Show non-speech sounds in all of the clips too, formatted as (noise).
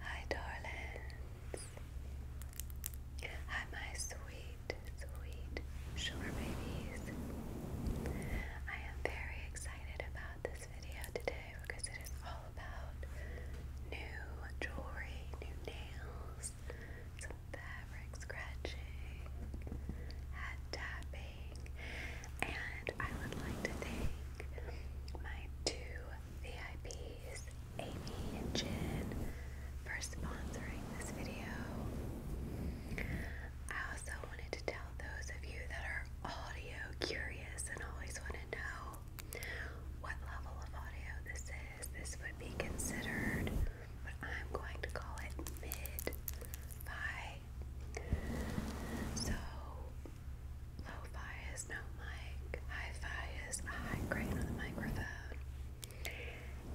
Hi, darlings. Hi, my sweet, sweet sugar babies. I am very excited about this video today because it is all about new jewelry, new nails, some fabric scratching, hat tapping, and I would like to thank my two VIPs, Amy and Jen, for sponsoring this video. I also wanted to tell those of you that are audio curious and always want to know what level of audio this is. This would be considered what I'm going to call it mid-fi. So Lo-fi is no mic. Hi-fi is a high grade on the microphone.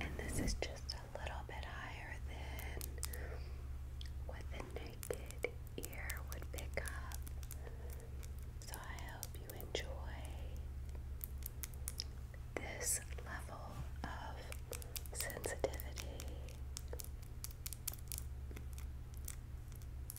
And this is just a little bit higher than what the naked ear would pick up. So I hope you enjoy this level of sensitivity.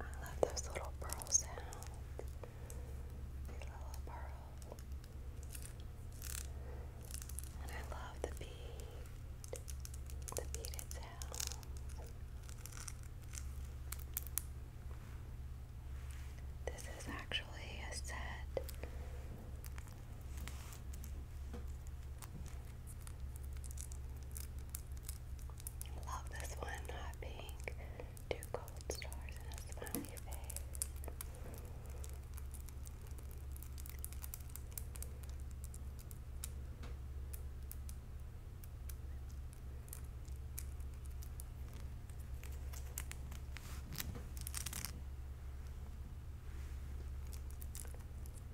I love those little pearls. And I love the bead. The beaded sounds. This is actually a set Love this one, hot pink. Two gold stars and a smiley face.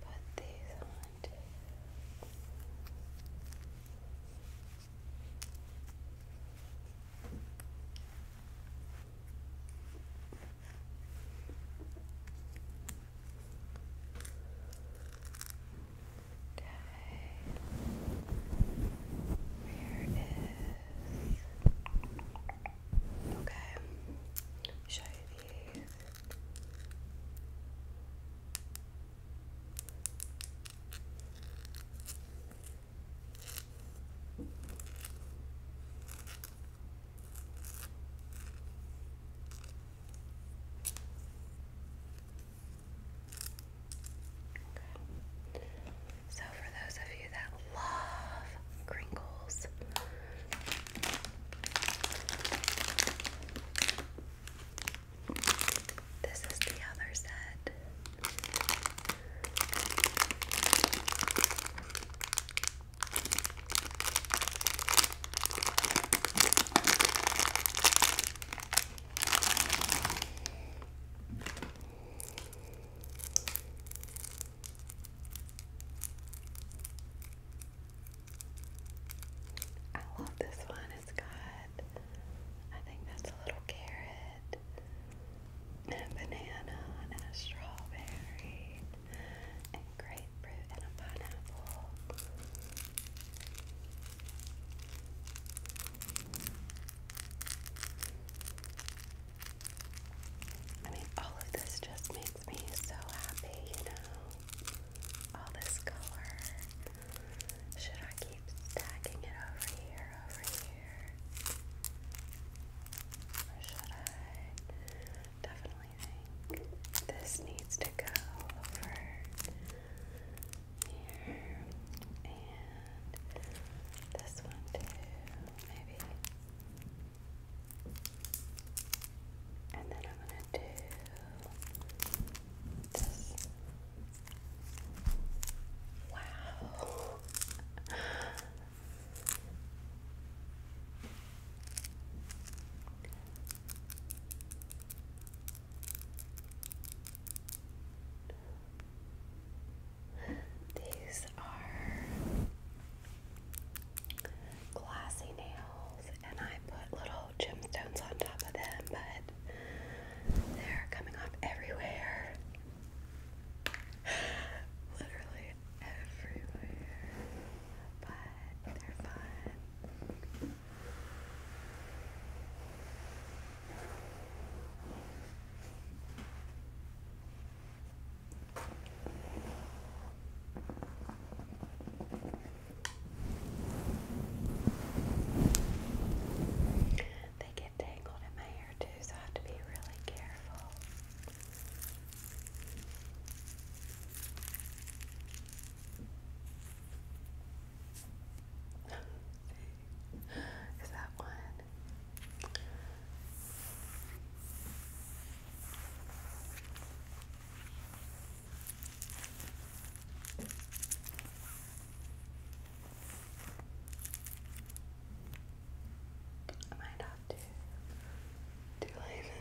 Put these on too. Okay. Where is Okay, show you these. So, for those of you that love crinkles, this is the other set. I love this one. It's got, I think that's a little carrot, and banana, and a strawberry, and grapefruit, and a pineapple. I mean, all of this just makes makes me so happy, you know. All this color. Should I keep stacking it over here, over here? Or should I? Definitely think this needs to go over here. And this one too, maybe. And then I'm going to do this. Wow. (laughs) These are glassy nails, and I put little gemstones on top of them, but they're coming off everywhere. (sighs) Literally everywhere. But they're fun. They get tangled in my hair too, so I have to be really careful. (gasps) Is that one? I might have to do like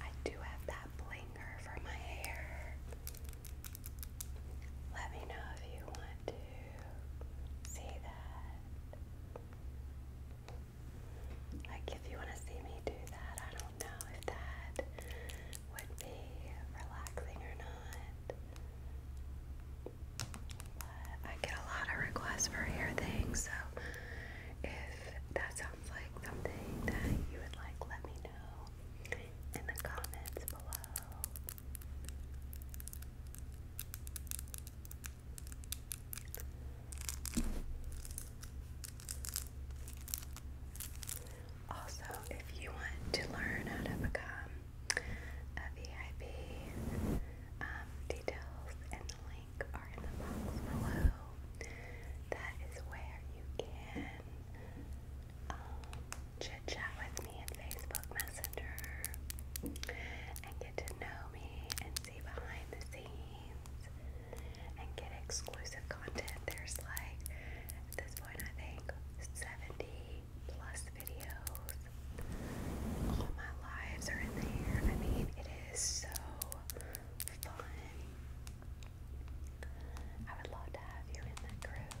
I do have that blinker for my hair. Let me know if you want to see that. Like, if you want to see me do that, I don't know if that would be relaxing or not. But I get a lot of requests for hair things, so if that sounds like something that you would like, let me know in the comments below. Also, if you want to learn how to become a VIP, um, details and the link are in the box below. That is where you can um, chit chat with me Facebook Messenger and get to know me and see behind the scenes and get exclusive content. There's like, at this point, I think 70 plus videos. All my lives are in there. I mean, it is so fun. I would love to have you in that group.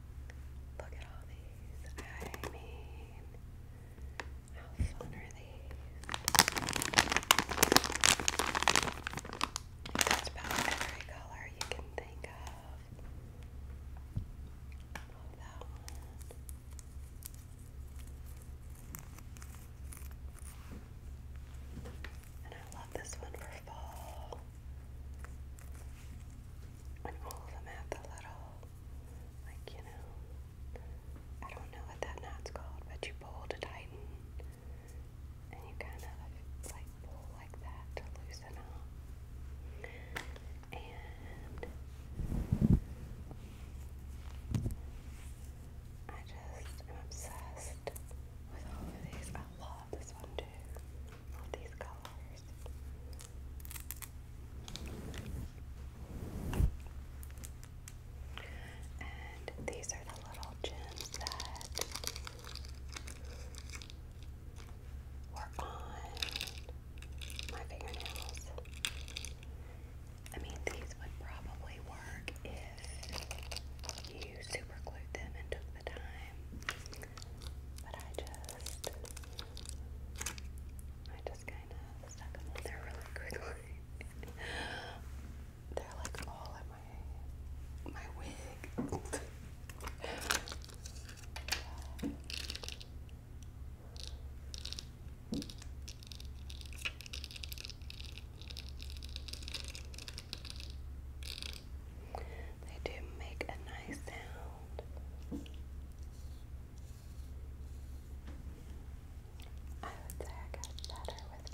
Look at all these. I mean, how fun are these? Just about every color you can think of. Love that one. And I love this one for fall when all of them have the little, like, you know, I don't know what that knot's called, but you pull to tighten, and you kind of like pull like that to loosen up. And I just am obsessed with all of these. I love this one too these colors. And these are the little gems that were on my fingernails. I mean, these would probably work if you super glued them and took the time, but I just first. I just kind of stuck them on there really quickly. (laughs) They're like all in my my wig. They do make a nice sound. I would say better with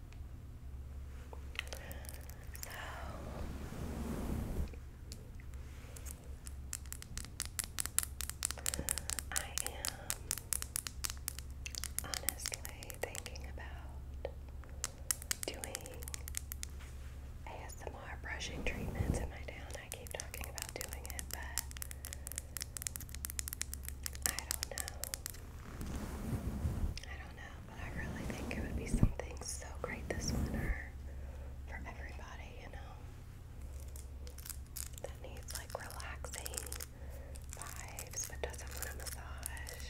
So I am honestly thinking about doing ASMR brushing treatments in my town. I keep talking about doing it, but I don't know. I don't know but I really think it would be something so great this winter for everybody, you know, that needs like relaxing vibes but doesn't want a massage.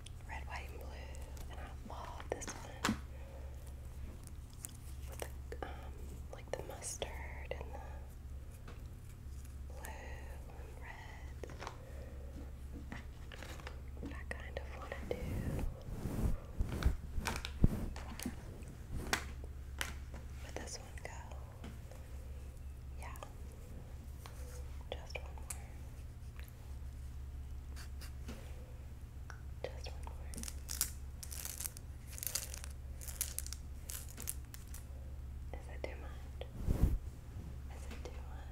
red, white, and blue, and I love this one with um, like the mustard and the blue and red. I kind of want to do. Let this one Yeah. Just one more. Just one more. Is it too much? Is it too much?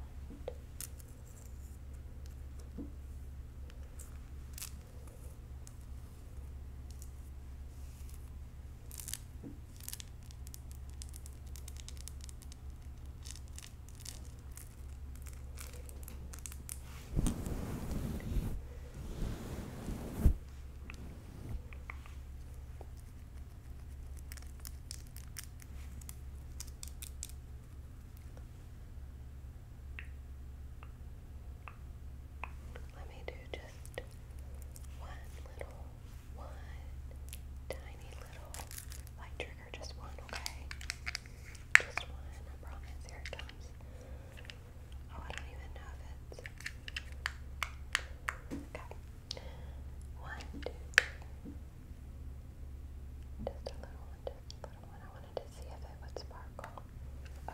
Let me do just one little, one tiny little light just one, okay? Just one, I promise. Here it comes. Oh, I don't even know if it's. Okay. One, two, three. Just a little one, just a one. I wanted to see if it would sparkle.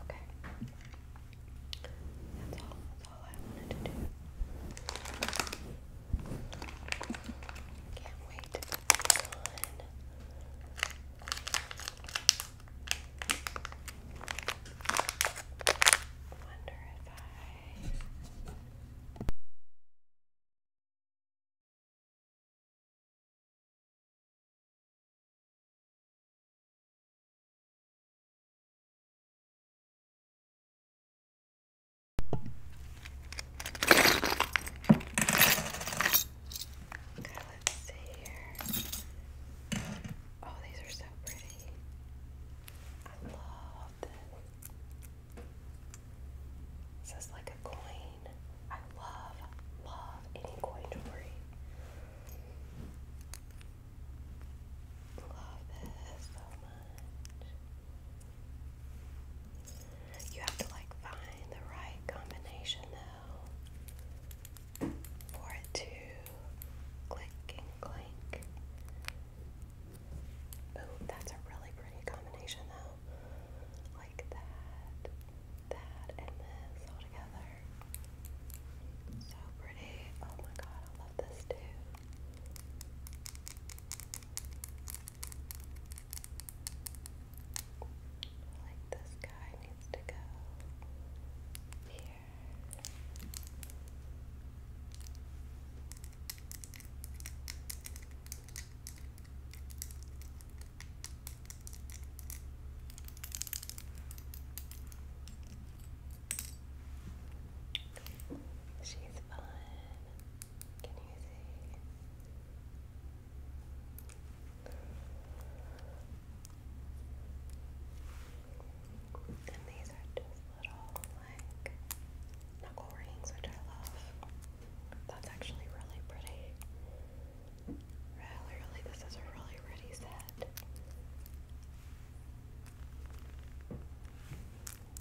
Okay. That's all. That's all I wanted to do. Can't wait Excellent. Wonder if I Okay, let's see here. Oh, these are so pretty. I love this. This is like a coin. I love, love any coin jewelry. Love this so much. You have to like find the right combination though for it to click and clink. Oh, that's a really pretty combination though. Like that, that, and this all together. So pretty. Oh my god, I love this too. Like this guy needs to go here. She's fun. Can you see? And these are just little, like, knuckle rings, which I love. That's actually really pretty. Really, really, this is a really pretty set.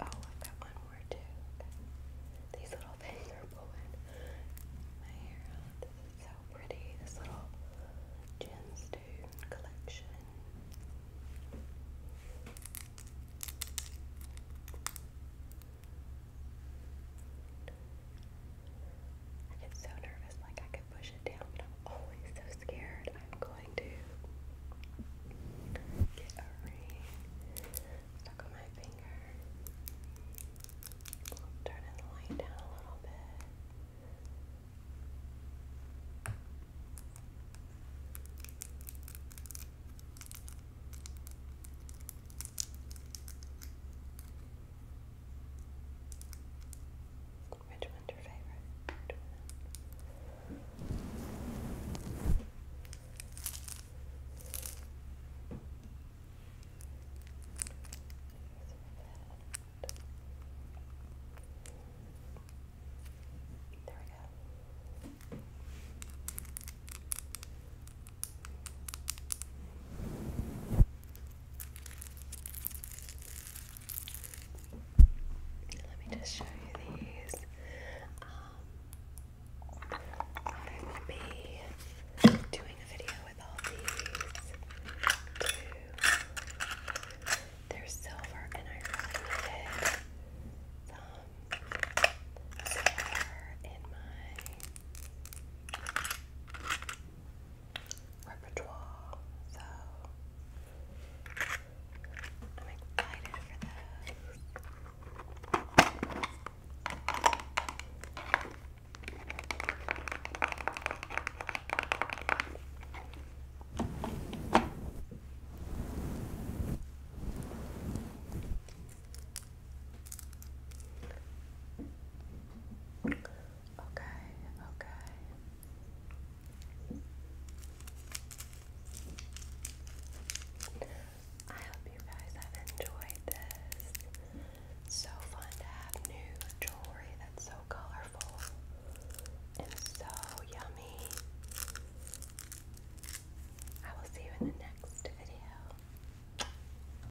Oh, I've got one more too. These little things are pulling my hair out. This is so pretty. This little gemstone collection. I get so nervous, like I could push it down, am always so scared. I'm going to get a ring stuck on my finger. Turning the light down a little bit. Which one's your favorite? There we go. Let me just show you these. Um, I will be doing a video with all these They're silver, and I really needed some silver in my repertoire, so I'm excited for this. Okay, okay. I hope you guys have enjoyed this. So fun to have new jewelry that's so colorful and so yummy. I will see you in the next video.